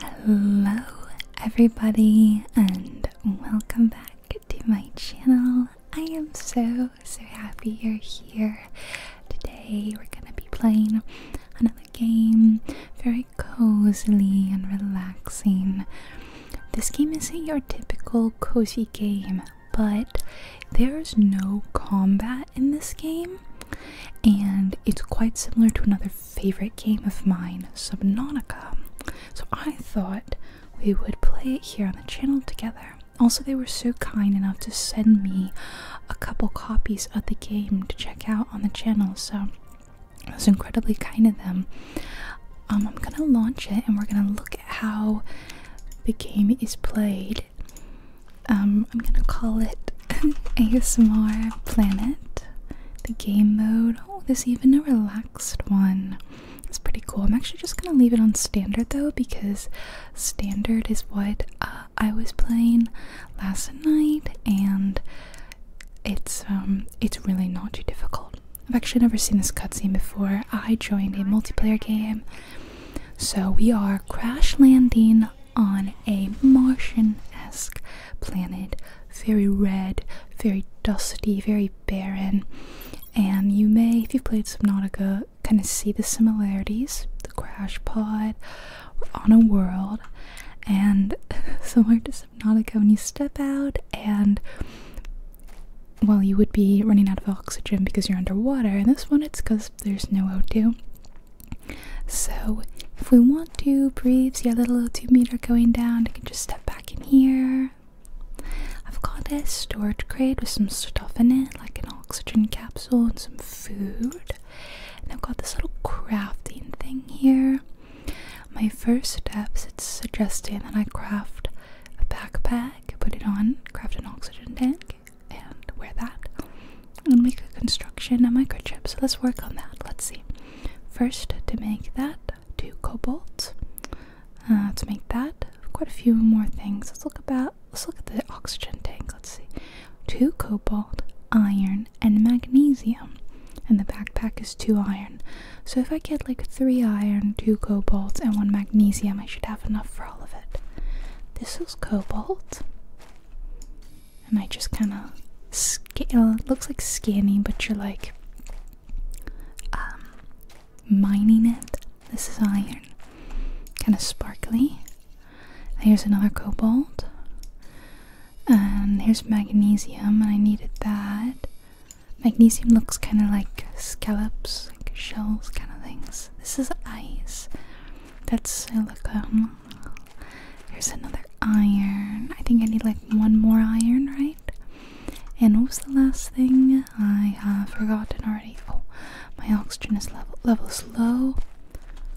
Hello, everybody, and welcome back to my channel. I am so so happy you're here. Today, we're gonna be playing another game, very cozy and relaxing. This game isn't your typical cozy game, but there's no combat in this game, and it's quite similar to another favorite game of mine, Subnautica. So I thought we would play it here on the channel together. Also, they were so kind enough to send me a couple copies of the game to check out on the channel, so it was incredibly kind of them. Um, I'm gonna launch it and we're gonna look at how the game is played um, I'm gonna call it ASMR Planet, the game mode. Oh, there's even a relaxed one. It's pretty cool. I'm actually just gonna leave it on standard though, because standard is what uh, I was playing last night, and it's um, it's really not too difficult. I've actually never seen this cutscene before. I joined a multiplayer game, so we are crash landing on a Martian esque planet. Very red, very dusty, very barren. And you may, if you've played Subnautica, kind of see the similarities. The crash pod, on a world, and similar to Subnautica, when you step out and well, you would be running out of oxygen because you're underwater. In this one, it's because there's no 0 so if we want to breathe, see that little tube meter going down, I can just step back in here. I've got this storage crate with some stuff in it, like an oxygen capsule and some food. And I've got this little crafting thing here. My first steps, it's suggesting that I craft a backpack, put it on, craft an oxygen tank, and wear that and make a construction, a microchip. So let's work on that. Let's see. First, to make that, two cobalt. Uh, to make that, quite a few more things. Let's look about. Let's look at the oxygen tank. Let's see. Two cobalt, iron, and magnesium. And the backpack is two iron. So if I get like three iron, two cobalt, and one magnesium, I should have enough for all of it. This is cobalt and I just kind of scale. It Looks like scanning, but you're like um, mining it. This is iron, kind of sparkly. And here's another cobalt, and here's magnesium, and I needed that. Magnesium looks kind of like scallops, like shells, kind of things. This is ice. That's silicon. Hmm. Here's another iron. I think I need like one more iron, right? And what was the last thing? I have forgotten already. Oh, my oxygen is level level is low.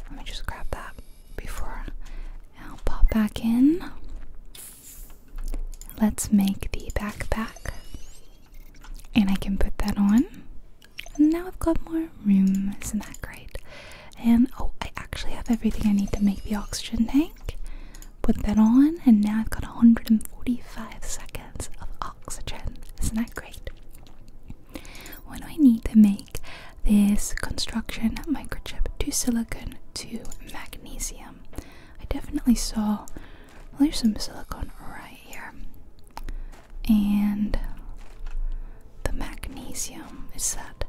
Let me just grab that before i pop back in. Let's make the backpack. And I can put that on. And now I've got more room. Isn't that great? And oh, I actually have everything I need to make the oxygen tank. Put that on, and now I've got 145 seconds of oxygen. Isn't that great? When I need to make this construction microchip to silicon to magnesium? I definitely saw well, there's some silicon right here. And the magnesium is that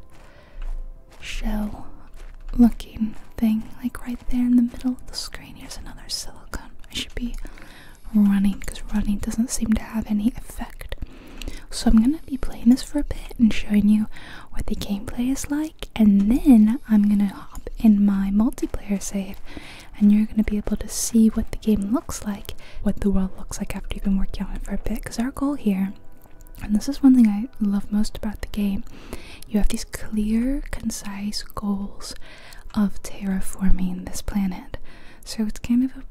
shell looking thing, like right there in the middle of the screen. Here's another silicone. I should be running because running doesn't seem to have any effect. So I'm gonna be playing this for a bit and showing you what the gameplay is like, and then I'm gonna hop in my multiplayer save, and you're gonna be able to see what the game looks like what the world looks like after you've been working on it for a bit. Because our goal here, and this is one thing I love most about the game, you have these clear, concise goals of terraforming this planet. So it's kind of a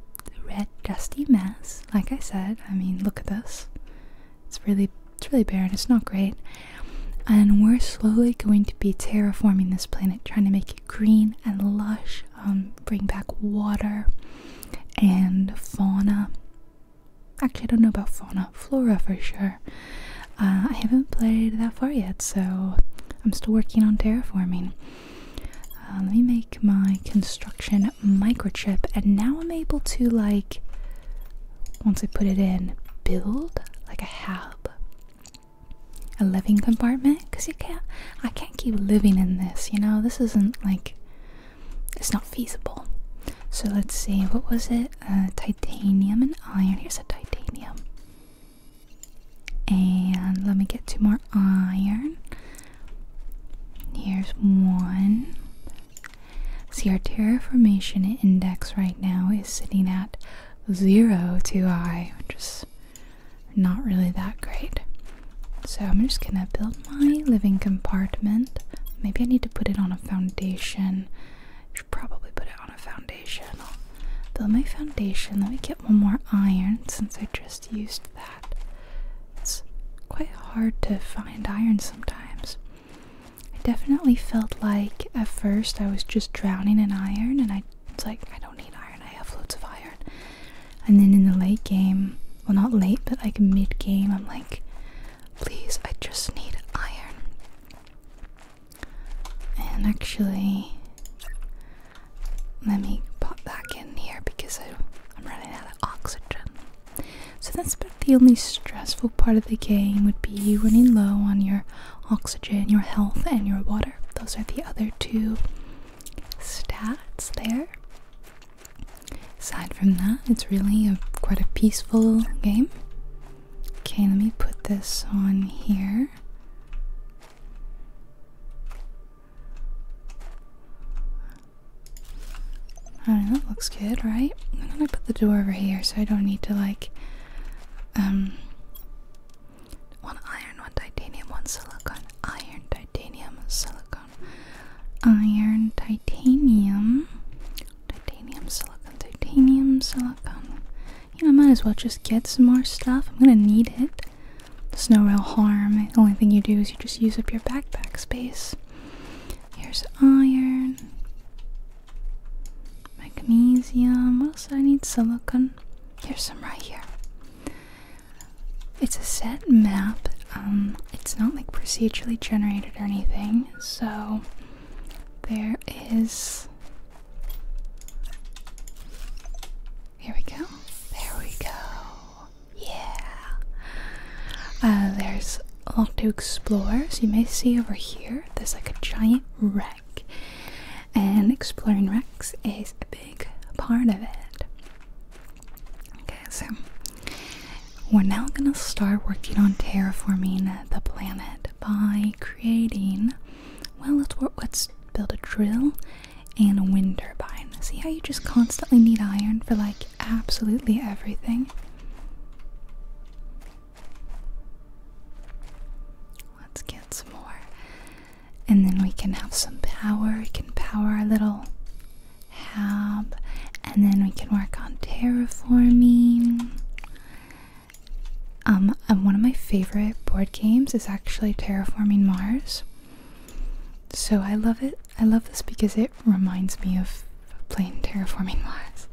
red, dusty mess. Like I said, I mean, look at this. It's really, it's really barren. It's not great. And we're slowly going to be terraforming this planet, trying to make it green and lush, um, bring back water, and fauna. Actually, I don't know about fauna, flora for sure. Uh, I haven't played that far yet, so I'm still working on terraforming. Uh, let me make my construction microchip, and now I'm able to, like, once I put it in, build like a hab, a living compartment. Cause you can't, I can't can't keep living in this, you know? This isn't like. It's not feasible. So let's see, what was it? Uh, titanium and iron. Here's a titanium. And let me get two more iron. Here's one. See, our terraformation index right now is sitting at zero to I, which is not really that great. So I'm just gonna build my living compartment. Maybe I need to put it on a foundation. I should probably put it on a foundation. I'll build my foundation. Let me get one more iron since I just used that. It's quite hard to find iron sometimes. I definitely felt like at first I was just drowning in iron and I it's like I don't need iron, I have loads of iron. And then in the late game, well, not late, but like mid game, I'm like, please, I just need iron. And actually, let me pop back in here because I, am running out of oxygen. So that's about the only stressful part of the game would be running low on your oxygen, your health, and your water. Those are the other two stats there. Aside from that, it's really a, quite a peaceful game. Okay, let me put this on here. I do that looks good, right? I'm gonna put the door over here so I don't need to like, one um, iron, one titanium, one silicon, iron, titanium, silicon iron, titanium, titanium, silicon, titanium, silicon. You know, I might as well just get some more stuff. I'm gonna need it. There's no real harm. The only thing you do is you just use up your backpack space. Here's iron, magnesium. What else I need? Silicon. Here's some right here. It's a set map. Um, it's not like procedurally generated or anything, so there is. Here we go. There we go. Yeah. Uh, there's a lot to explore. So you may see over here, there's like a giant wreck, and exploring wrecks is a big part of it. Okay, so we're now going to start working on terraforming the planet by creating. Well, let's, let's build a drill and a wind turbine. See how you just constantly need iron for like absolutely everything? Let's get some more and then we can have some power. We can power our little hab, and then we can work on terraforming. Um, um, one of my favorite board games is actually Terraforming Mars. So I love it. I love this because it reminds me of playing Terraforming Mars.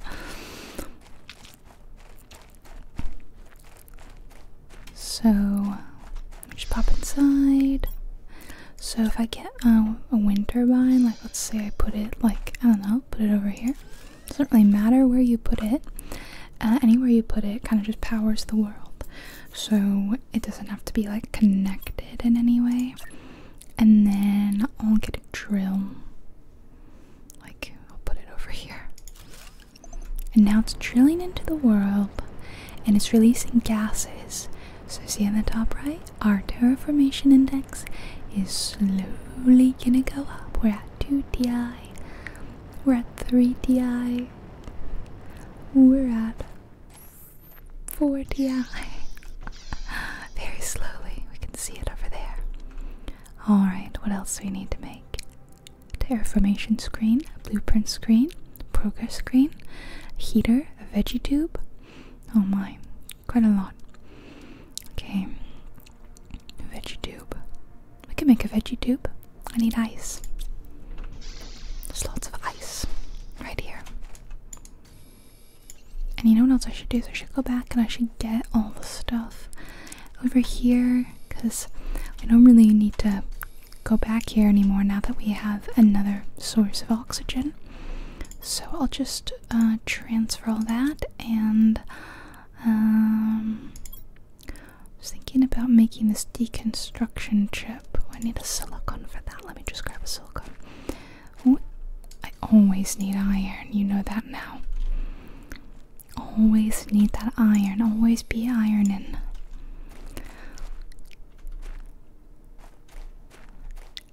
So, just pop inside. So if I get um, a wind turbine, like let's say I put it like, I don't know, put it over here. It doesn't really matter where you put it. Uh, anywhere you put it kind of just powers the world. So it doesn't have to be like connected in any way. And then I'll get a drill. Like, I'll put it over here. And now it's drilling into the world and it's releasing gases. So, see in the top right, our terraformation index is slowly gonna go up. We're at 2 DI. we're at 3 DI. we're at 4 DI. Very slowly, we can see it over there. Alright, what else do we need to make? Terraformation screen, blueprint screen progress screen, heater, a veggie tube. Oh my, quite a lot. Okay, veggie tube. We can make a veggie tube. I need ice. There's lots of ice right here. And you know what else I should do? So I should go back and I should get all the stuff over here because I don't really need to go back here anymore now that we have another source of oxygen. So I'll just uh, transfer all that and um, I was thinking about making this deconstruction chip. I need a silicon for that. Let me just grab a silicon. I always need iron. You know that now. Always need that iron. Always be ironing.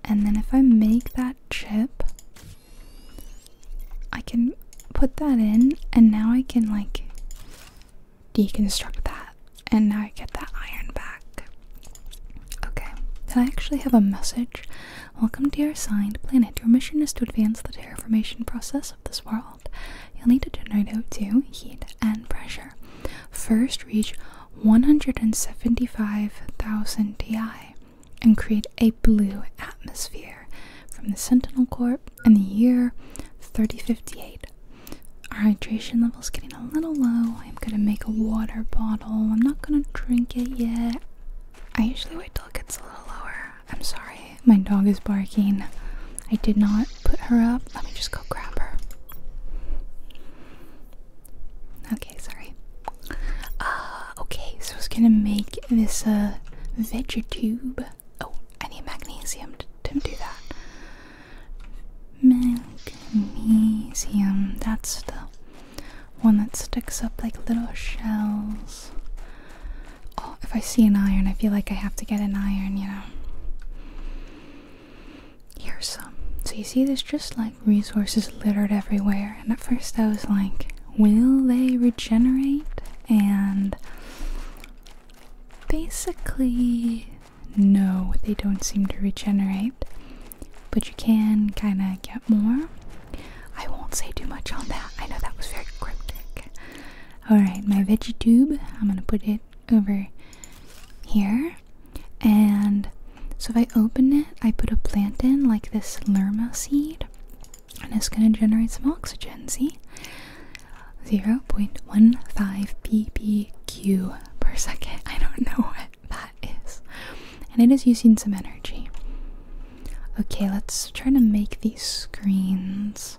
And then if I make that chip, I can put that in and now I can like deconstruct that and now I get that iron back. Okay, so I actually have a message. Welcome to your assigned planet. Your mission is to advance the terraformation process of this world. You'll need to generate O2, heat, and pressure first reach 175,000 di, and create a blue atmosphere from the Sentinel Corps in the year 3058. Our hydration level is getting a little low. I'm gonna make a water bottle. I'm not gonna drink it yet. I usually wait till it gets a little lower. I'm sorry, my dog is barking. I did not put her up. Let me just go grab her. Okay, sorry. Uh, okay, so I was gonna make this uh, Vegetube. Oh, I need magnesium to, to do that. Magnesium, that's the one that sticks up like little shells. Oh, if I see an iron, I feel like I have to get an iron, you know. Here's some. So you see there's just like resources littered everywhere and at first I was like, will they regenerate? And basically no, they don't seem to regenerate. But you can kinda get more. I won't say too much on that. I know that was very cryptic. Alright, my veggie tube, I'm gonna put it over here. And so if I open it, I put a plant in, like this lerma seed, and it's going to generate some oxygen. See? 0.15 ppq per second. I don't know what that is. And it is using some energy. Okay, let's try to make these screens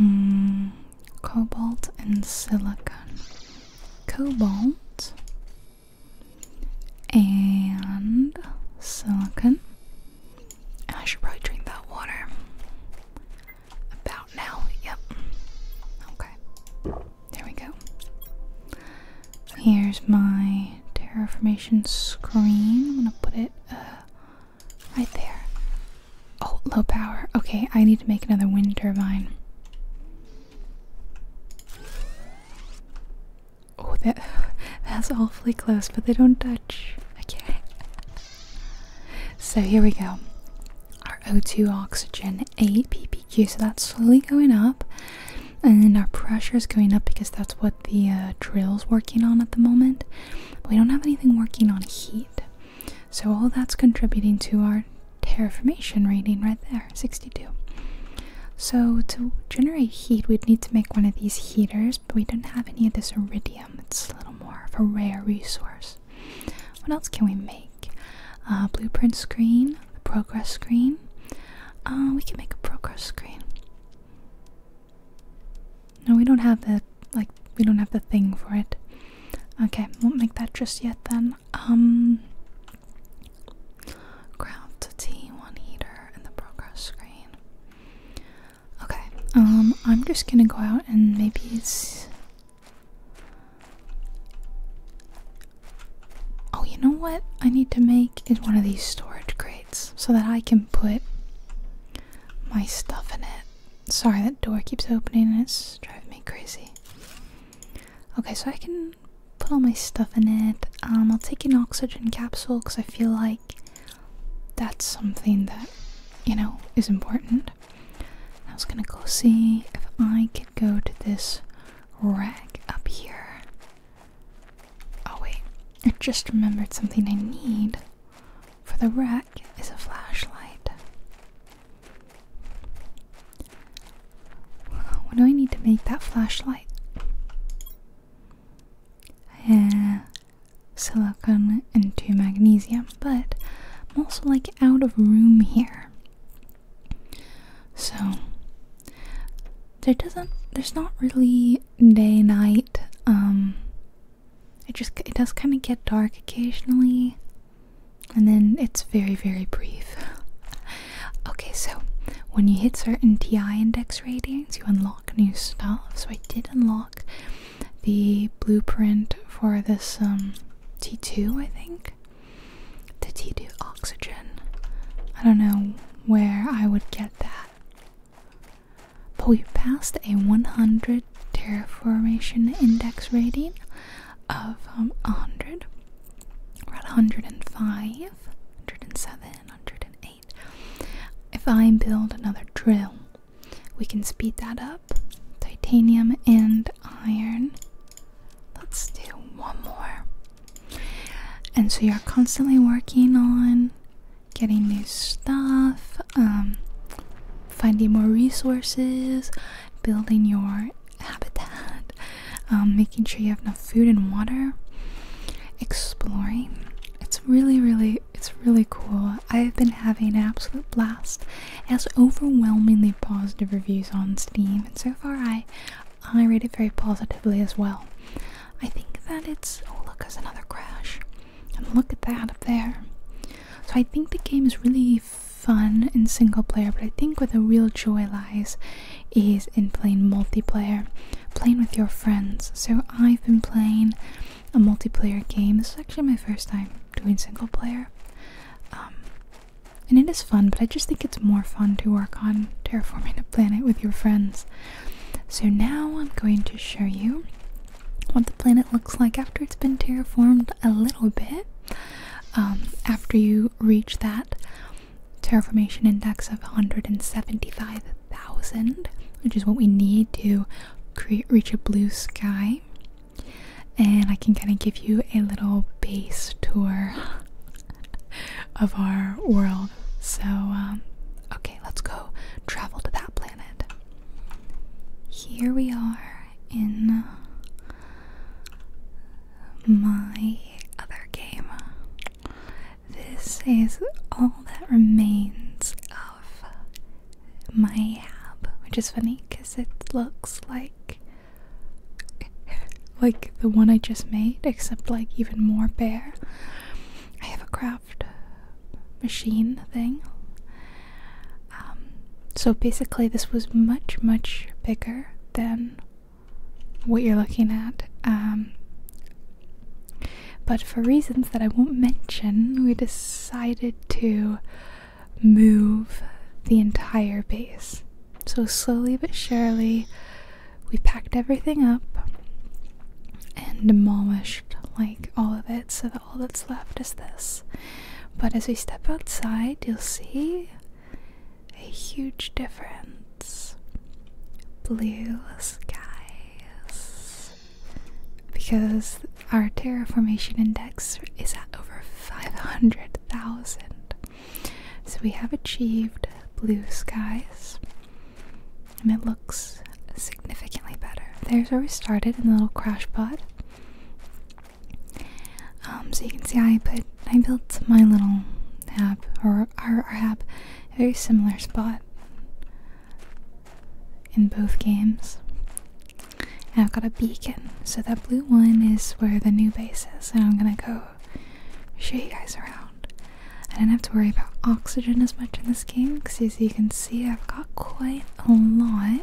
Mm, cobalt and silicon. Cobalt and silicon. I should probably drink that water about now. Yep. Okay. There we go. Here's my terraformation screen. I'm gonna put it uh, Right there. Oh, low power. Okay, I need to make another wind turbine. Oh, that that's awfully close, but they don't touch. Okay. So here we go. Our O2 oxygen, 8 ppq, so that's slowly going up. And then our pressure is going up because that's what the uh, drill's working on at the moment. we don't have anything working on heat. So all that's contributing to our terraformation rating right there, 62. So to generate heat, we'd need to make one of these heaters, but we don't have any of this iridium. It's a little more of a rare resource. What else can we make? Uh, blueprint screen, progress screen. Uh, we can make a progress screen. No, we don't have the like we don't have the thing for it. Okay, won't make that just yet then. Um ground to one heater in the progress screen. Okay, um I'm just gonna go out and maybe it's Oh, you know what I need to make is one of these storage crates so that I can put my stuff in it. Sorry, that door keeps opening and it's driving me crazy. Okay, so I can put all my stuff in it. Um, I'll take an oxygen capsule because I feel like that's something that, you know, is important. I was gonna go see if I could go to this rack up here. Oh, wait. I just remembered something I need for the rack back is a flashlight. What do I need to make that flashlight? Yeah, Uh, and two magnesium, but I'm also like out of room here. So there doesn't there's not really day night um, it just it does kind of get dark occasionally, and then it's very very brief. okay, so when you hit certain TI index ratings, you unlock new stuff. So I did unlock the blueprint for this um, T2, I think. The T2 oxygen. I don't know where I would get that. But we passed a 100 terraformation index rating of um, 100. We're at 105, 107, 108. If I build another drill, we can speed that up. Titanium and iron. Let's do one more. And so you're constantly working on getting new stuff, um, finding more resources, building your habitat, um, making sure you have enough food and water, exploring. It's really, really, it's really cool. I've been having an absolute blast. It has overwhelmingly positive reviews on Steam, and so far I, I rate it very positively as well. I think that it's oh look, there's another crash. And look at that up there. So I think the game is really fun in single player, but I think where the real joy lies is in playing multiplayer, playing with your friends. So I've been playing a multiplayer game. This is actually my first time doing single player. Um, and it is fun, but I just think it's more fun to work on terraforming a planet with your friends. So now I'm going to show you what the planet looks like after it's been terraformed a little bit. Um, after you reach that terraformation index of 175,000, which is what we need to create reach a blue sky, and I can kind of give you a little base tour of our world. So, um, okay, let's go travel to that planet here we are in my other game. This is all that remains of my hab, which is funny because it looks like like the one I just made, except like even more bare. I have a crab machine thing. Um, so basically, this was much, much bigger than what you're looking at. Um, but for reasons that I won't mention, we decided to move the entire base. So, slowly but surely, we packed everything up and demolished like all of it so that all that's left is this. But as we step outside, you'll see a huge difference. Blue skies. Because our terraformation index is at over 500,000. So we have achieved blue skies and it looks significantly better. There's where we started in the little crash pod. Um, so you can see I put I built my little hab or our, our hab a very similar spot in both games. And I've got a beacon. So that blue one is where the new base is, and I'm gonna go show you guys around. I do not have to worry about oxygen as much in this this game because as you can see I've got quite a lot.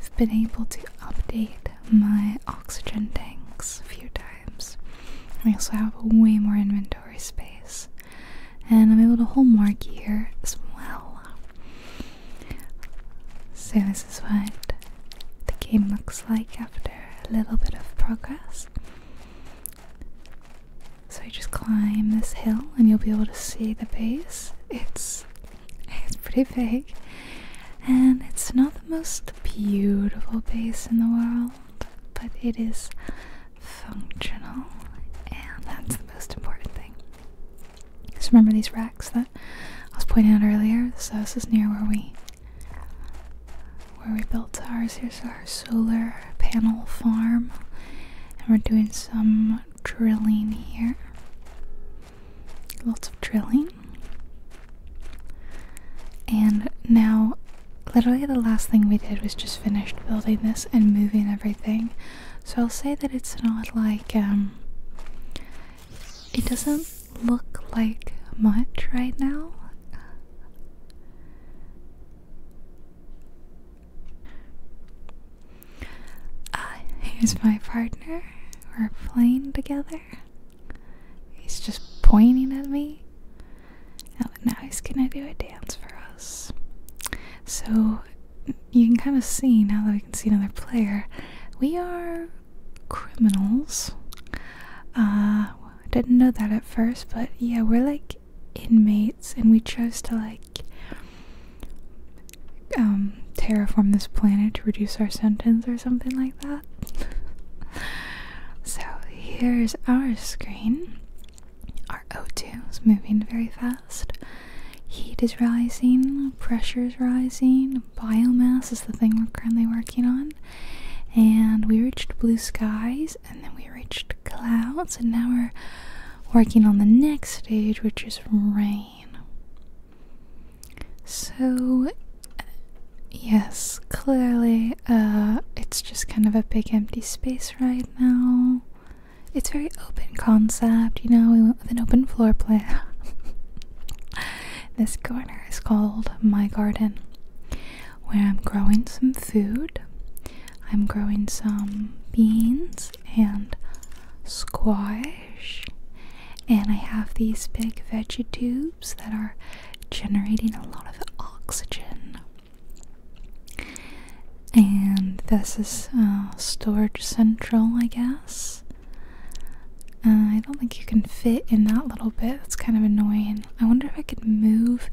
I've been able to update my oxygen tanks a few times. I also have way more inventory space. And I'm able to hold more gear as well. So this is what the game looks like after a little bit of progress. So you just climb this hill and you'll be able to see the base. It's it's pretty big. And it's not the most beautiful base in the world, but it is functional and that's the most important thing. Just remember these racks that I was pointing out earlier. So this is near where we where we built ours. Here's our solar panel farm. And we're doing some drilling here. Lots of drilling. And now, literally, the last thing we did was just finished building this and moving everything. So I'll say that it's not like, um, it doesn't look like much right now. Uh, here's my partner. We're playing together. He's just pointing at me. now he's gonna do a dance for us. So you can kind of see now that we can see another player. We are criminals. Uh, well, I didn't know that at first, but yeah, we're like inmates, and we chose to like um, terraform this planet to reduce our sentence or something like that. so here's our screen. Our O2 is moving very fast. Heat is rising, pressure is rising, biomass is the thing we're currently working on. And we reached blue skies, and then we reached clouds, and now we're working on the next stage, which is rain. So, yes, clearly, uh, it's just kind of a big empty space right now. It's very open concept, you know. We went with an open floor plan. this corner is called my garden, where I'm growing some food. I'm growing some beans and squash. And I have these big veggie tubes that are generating a lot of oxygen. And this is uh, storage central, I guess. Uh, I don't think you can fit in that little bit. It's kind of annoying. I wonder if I could move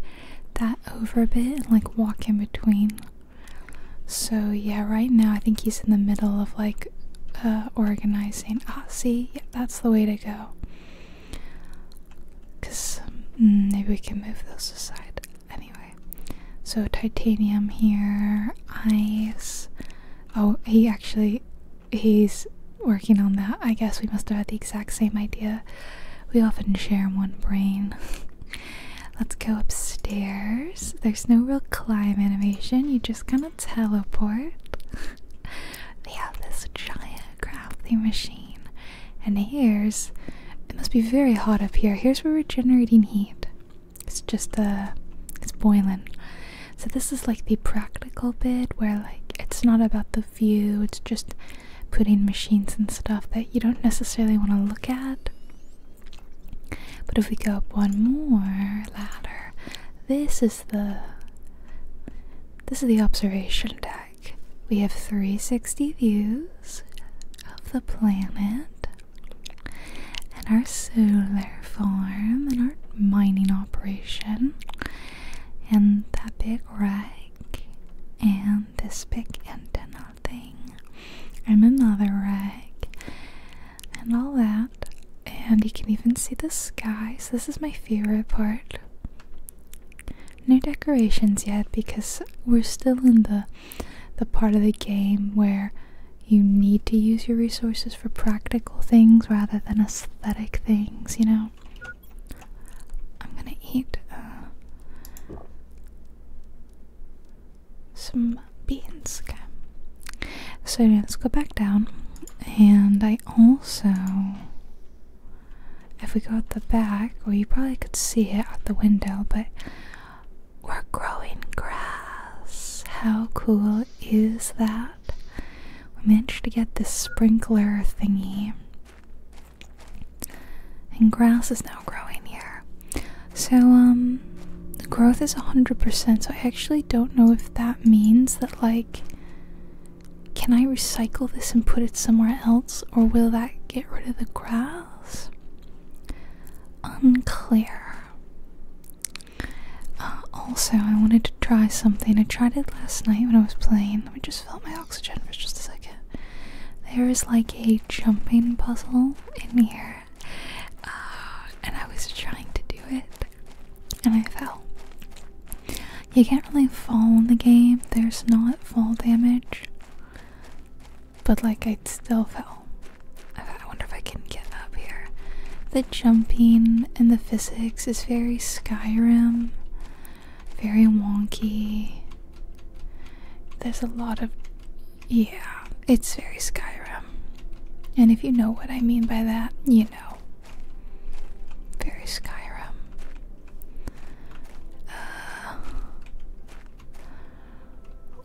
that over a bit and like walk in between so yeah, right now I think he's in the middle of like uh, organizing. Ah, see, that's the way to go. Cause mm, maybe we can move those aside anyway. So titanium here, ice. Oh, he actually he's working on that. I guess we must have had the exact same idea. We often share one brain. Let's go upstairs. There's no real climb animation, you just kind of teleport. they have this giant crafting machine. And here's it must be very hot up here. Here's where we're generating heat. It's just uh it's boiling. So this is like the practical bit where like it's not about the view, it's just putting machines and stuff that you don't necessarily want to look at. But if we go up one more ladder, this is the this is the observation deck. We have 360 views of the planet and our solar farm and our mining operation and that big wreck and this big antenna nothing. I'm another rag. And all that. And you can even see the sky. So this is my favorite part. No decorations yet because we're still in the the part of the game where you need to use your resources for practical things rather than aesthetic things, you know. I'm gonna eat uh, some beans. Okay. So let's go back down. And I also, if we go at the back, well, you probably could see it out the window, but we're growing grass. How cool is that? We managed to get this sprinkler thingy and grass is now growing here. So, um, the growth is 100%, so I actually don't know if that means that, like, can I recycle this and put it somewhere else, or will that get rid of the grass? Unclear. Uh, also, I wanted to try something. I tried it last night when I was playing. Let me just fill up my oxygen for just a second there is like a jumping puzzle in here, uh, and I was trying to do it, and I fell. You can't really fall in the game. There's not fall damage, but like I still fell. I wonder if I can get up here. The jumping and the physics is very Skyrim, very wonky. There's a lot of. Yeah, it's very Skyrim. And if you know what I mean by that, you know. Very Skyrim. Uh,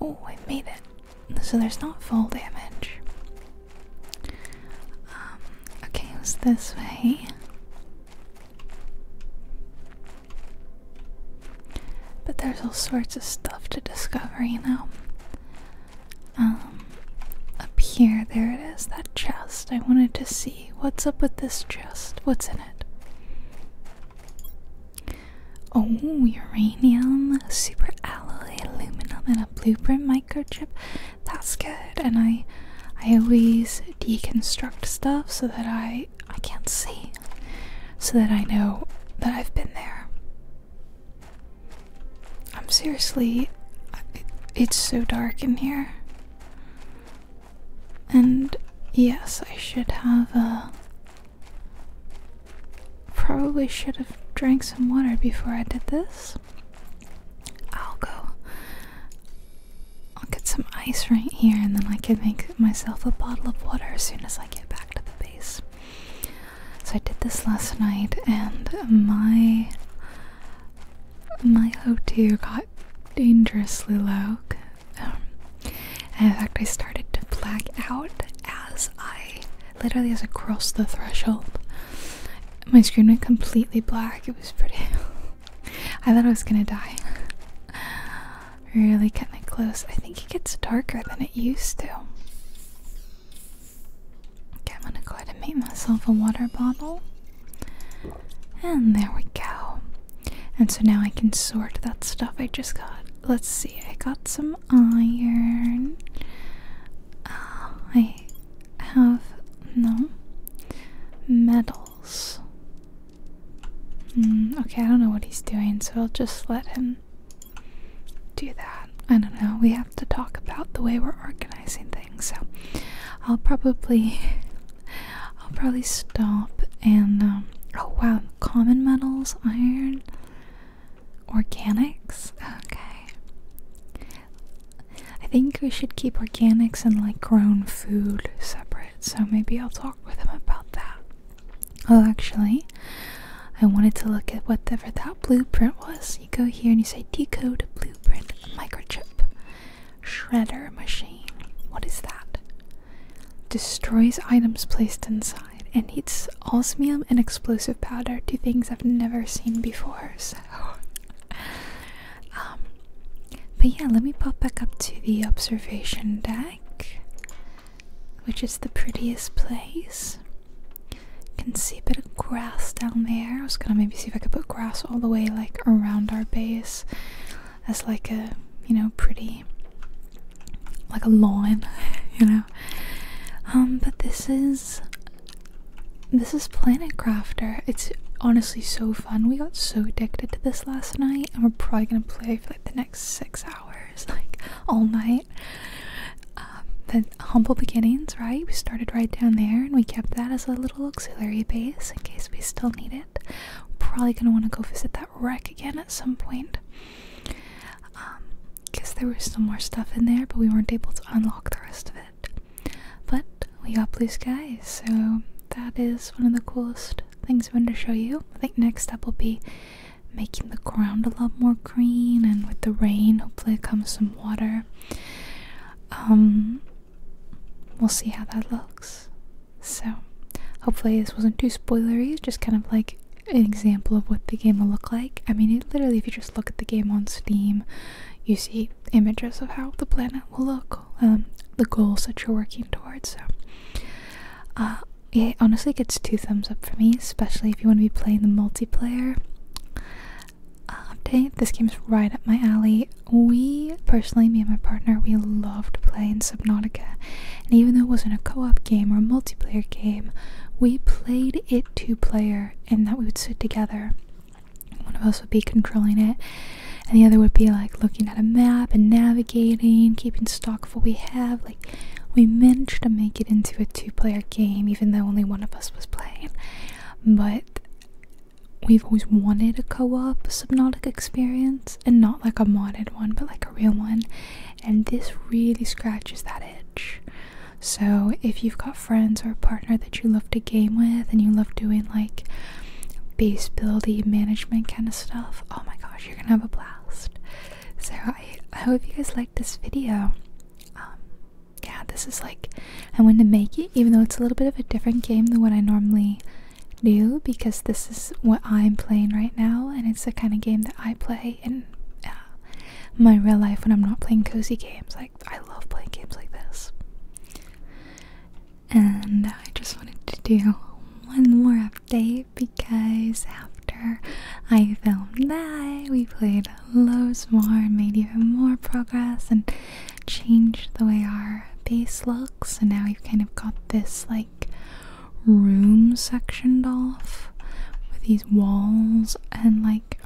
oh, I made it. So there's not full damage. Um, okay, it was this way. But there's all sorts of stuff to discover, you know. Um, up here, there it is, that chest. I wanted to see what's up with this chest. What's in it? Oh, uranium, super alloy, aluminum, and a blueprint microchip. That's good. And I, I always deconstruct stuff so that I I can't see so that I know that I've been there. I'm seriously it's so dark in here. And yes, I should have uh probably should have drank some water before I did this. I'll go I'll get some ice right here and then I can make myself a bottle of water as soon as I get back to the base. So I did this last night and my my O2 got dangerously low. Um, and in fact I started to black out as I literally as I crossed the threshold. My screen went completely black. It was pretty I thought I was gonna die. Really getting close. I think it gets darker than it used to. Okay, I'm gonna go ahead and make myself a water bottle. And there we go. And so now I can sort that stuff I just got. Let's see, I got some iron. Uh, I have no metals. Mm, okay, I don't know what he's doing, so I'll just let him do that. I don't know. We have to talk about the way we're organizing things, so I'll probably I'll probably stop and um, oh wow, common metals, iron, organics. Okay. I think we should keep organics and like grown food separate. So maybe I'll talk talk with him about that. Oh, actually, I wanted to look at whatever that blueprint was. You go here and you say decode blueprint microchip shredder machine. What is that? Destroys items placed inside and heats osmium and explosive powder to things I've never seen before. So, um, but yeah, let me pop back up to the observation deck which is the prettiest place. can see a bit of grass down there. I was gonna maybe see if I could put grass all the way like around our base as like a you know pretty like a lawn, you know. Um, but this is this is Planet Crafter. It's honestly so fun. We got so addicted to this last night, and we're probably gonna play for like the next six hours, like all night. Um, the humble beginnings, right? We started right down there and we kept that as a little auxiliary base in case we still need it. Probably gonna want to go visit that wreck again at some point. Um, because there was still more stuff in there, but we weren't able to unlock the rest of it. But we got blue skies, so that is one of the coolest things I wanted to show you. I think next up will be making the ground a lot more green, and with the rain, hopefully, it comes some water. Um, we'll see how that looks. So, hopefully, this wasn't too spoilery. Just kind of like an example of what the game will look like. I mean, literally, if you just look at the game on Steam, you see images of how the planet will look, um, the goals that you're working towards. So. Uh, it honestly gets two thumbs up for me, especially if you want to be playing the multiplayer uh, update. This game's right up my alley. We, personally, me and my partner, we loved playing Subnautica. And even though it wasn't a co op game or a multiplayer game, we played it two player in that we would sit together. One of us would be controlling it, and the other would be like looking at a map and navigating, keeping stock of what we have. Like we managed to make it into a two-player game, even though only one of us was playing. But we've always wanted a co-op Subnautica experience, and not like a modded one, but like a real one. And this really scratches that itch. So if you've got friends or a partner that you love to game with, and you love doing like base building management kind of stuff. Oh my gosh, you're gonna have a blast. So I, I hope you guys liked this video. Um, yeah, this is like I am going to make it, even though it's a little bit of a different game than what I normally do, because this is what I'm playing right now, and it's the kind of game that I play in uh, my real life when I'm not playing cozy games. Like I love playing games like this and I just wanted to do one more update because after I filmed that, we played loads more and made even more progress and changed the way our base looks. And now we've kind of got this like room sectioned off with these walls and like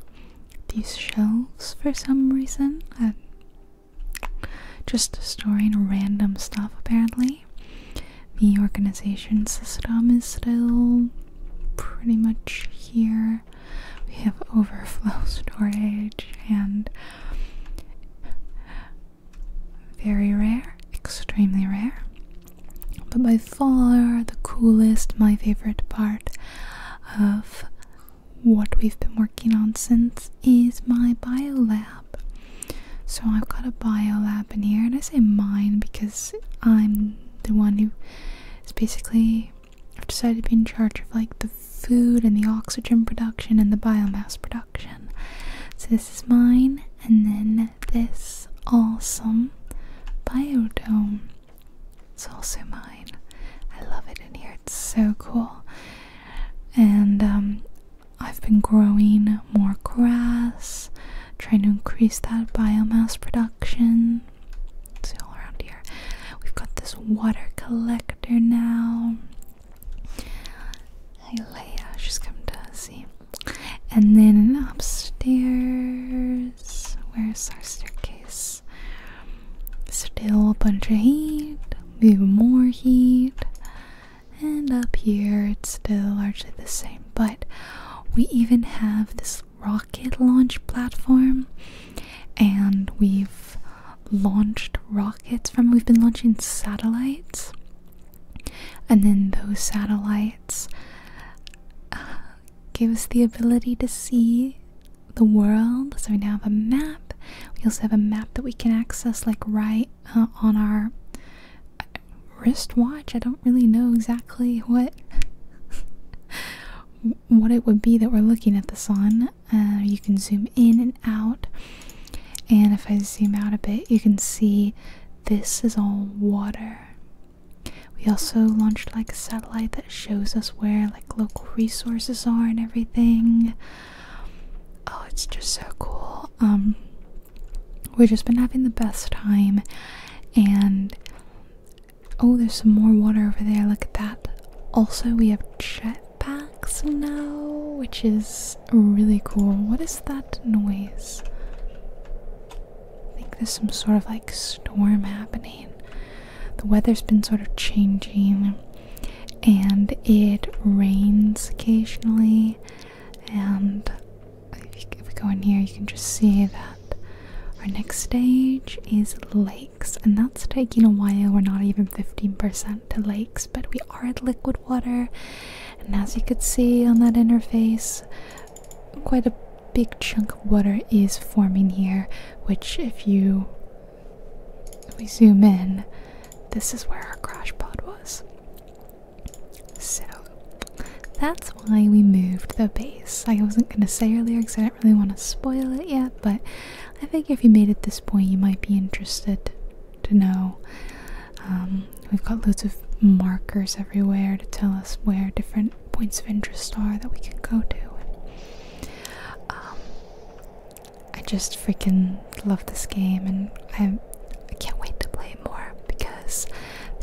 these shelves for some reason. I just storing random stuff apparently. The organization system is still pretty much here. We have overflow storage and very rare, extremely rare. But by far the coolest, my favorite part of what we've been working on since is my bio lab. So I've got a bio lab in here, and I say mine because I'm the one who is basically decided to be in charge of like the food and the oxygen production and the biomass production. So this is mine, and then this awesome biodome. It's also mine. I love it in here. It's so cool. And um, I've been growing more grass, trying to increase that biomass production. See all around here. We've got this water collector now. Hey Leia, she's come to see. And then upstairs, where's our staircase? Still a bunch of heat, even more heat and up here it's still largely the same but we even have this rocket launch platform and we've launched rockets from we've been launching satellites and then those satellites uh, gave us the ability to see the world so we now have a map we also have a map that we can access like right uh, on our wristwatch. I don't really know exactly what what it would be that we're looking at the sun. Uh, you can zoom in and out, and if I zoom out a bit, you can see this is all water. We also launched like a satellite that shows us where like local resources are and everything. Oh, it's just so cool. Um, we've just been having the best time, and oh, there's some more water over there. Look at that. Also, we have jetpacks now, which is really cool. What is that noise? I think there's some sort of like storm happening. The weather's been sort of changing and it rains occasionally. And if, we go in here, you can just see that our next stage is lakes, and that's taking a while. We're not even 15% to lakes, but we are at liquid water. And as you could see on that interface, quite a big chunk of water is forming here, which, if you we zoom in, this is where our crash pod was. So that's why we moved the base. I wasn't going to say earlier because I didn't really want to spoil it yet, but I think if you made it this point, you might be interested to know. Um, we've got loads of markers everywhere to tell us where different points of interest are that we can go to. Um, I just freaking love this game and I, can't wait to play more because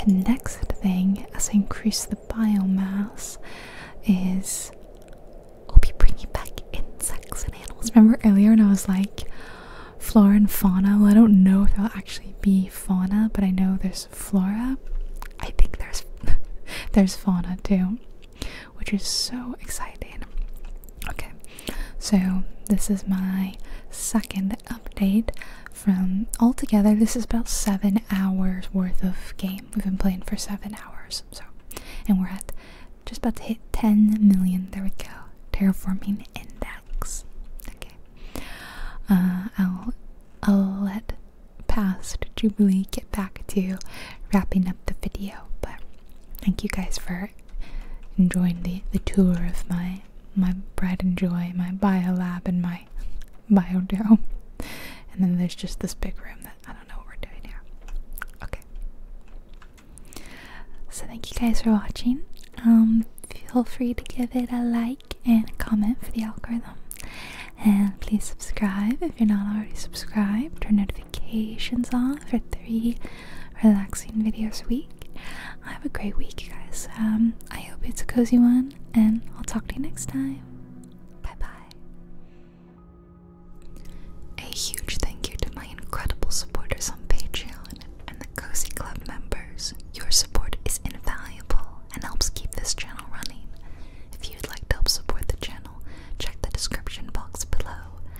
the next thing as I increase the biomass is I'll be bringing back insects and animals. Remember earlier when I was like flora and fauna? Well, I don't know if there'll actually be fauna, but I know there's flora. I think there's there's fauna too which is so exciting. Okay, so this is my second update from altogether. This is about seven hours worth of game. We've been playing for seven hours, so and we're at just about to hit 10 million. There we go. Terraforming index. Okay, uh, I'll I'll let past Jubilee get back to wrapping up the video, but thank you guys for Enjoying the, the tour of my my Bread and Joy, my bio lab and my Biodome. And then there's just this big room that I don't know what we're doing here. Okay. So thank you guys for watching. Um, feel free to give it a like and comment for the algorithm. And please subscribe if you're not already subscribed. Turn notifications notifications on for three relaxing videos a week. Have a great week, guys. Um, I hope it's a cozy one, and I'll talk to you next time. Bye bye. A huge thank you to my incredible supporters on Patreon and the Cozy Club members. Your support is invaluable and helps keep this channel running. If you'd like to help support the channel, check the description box below.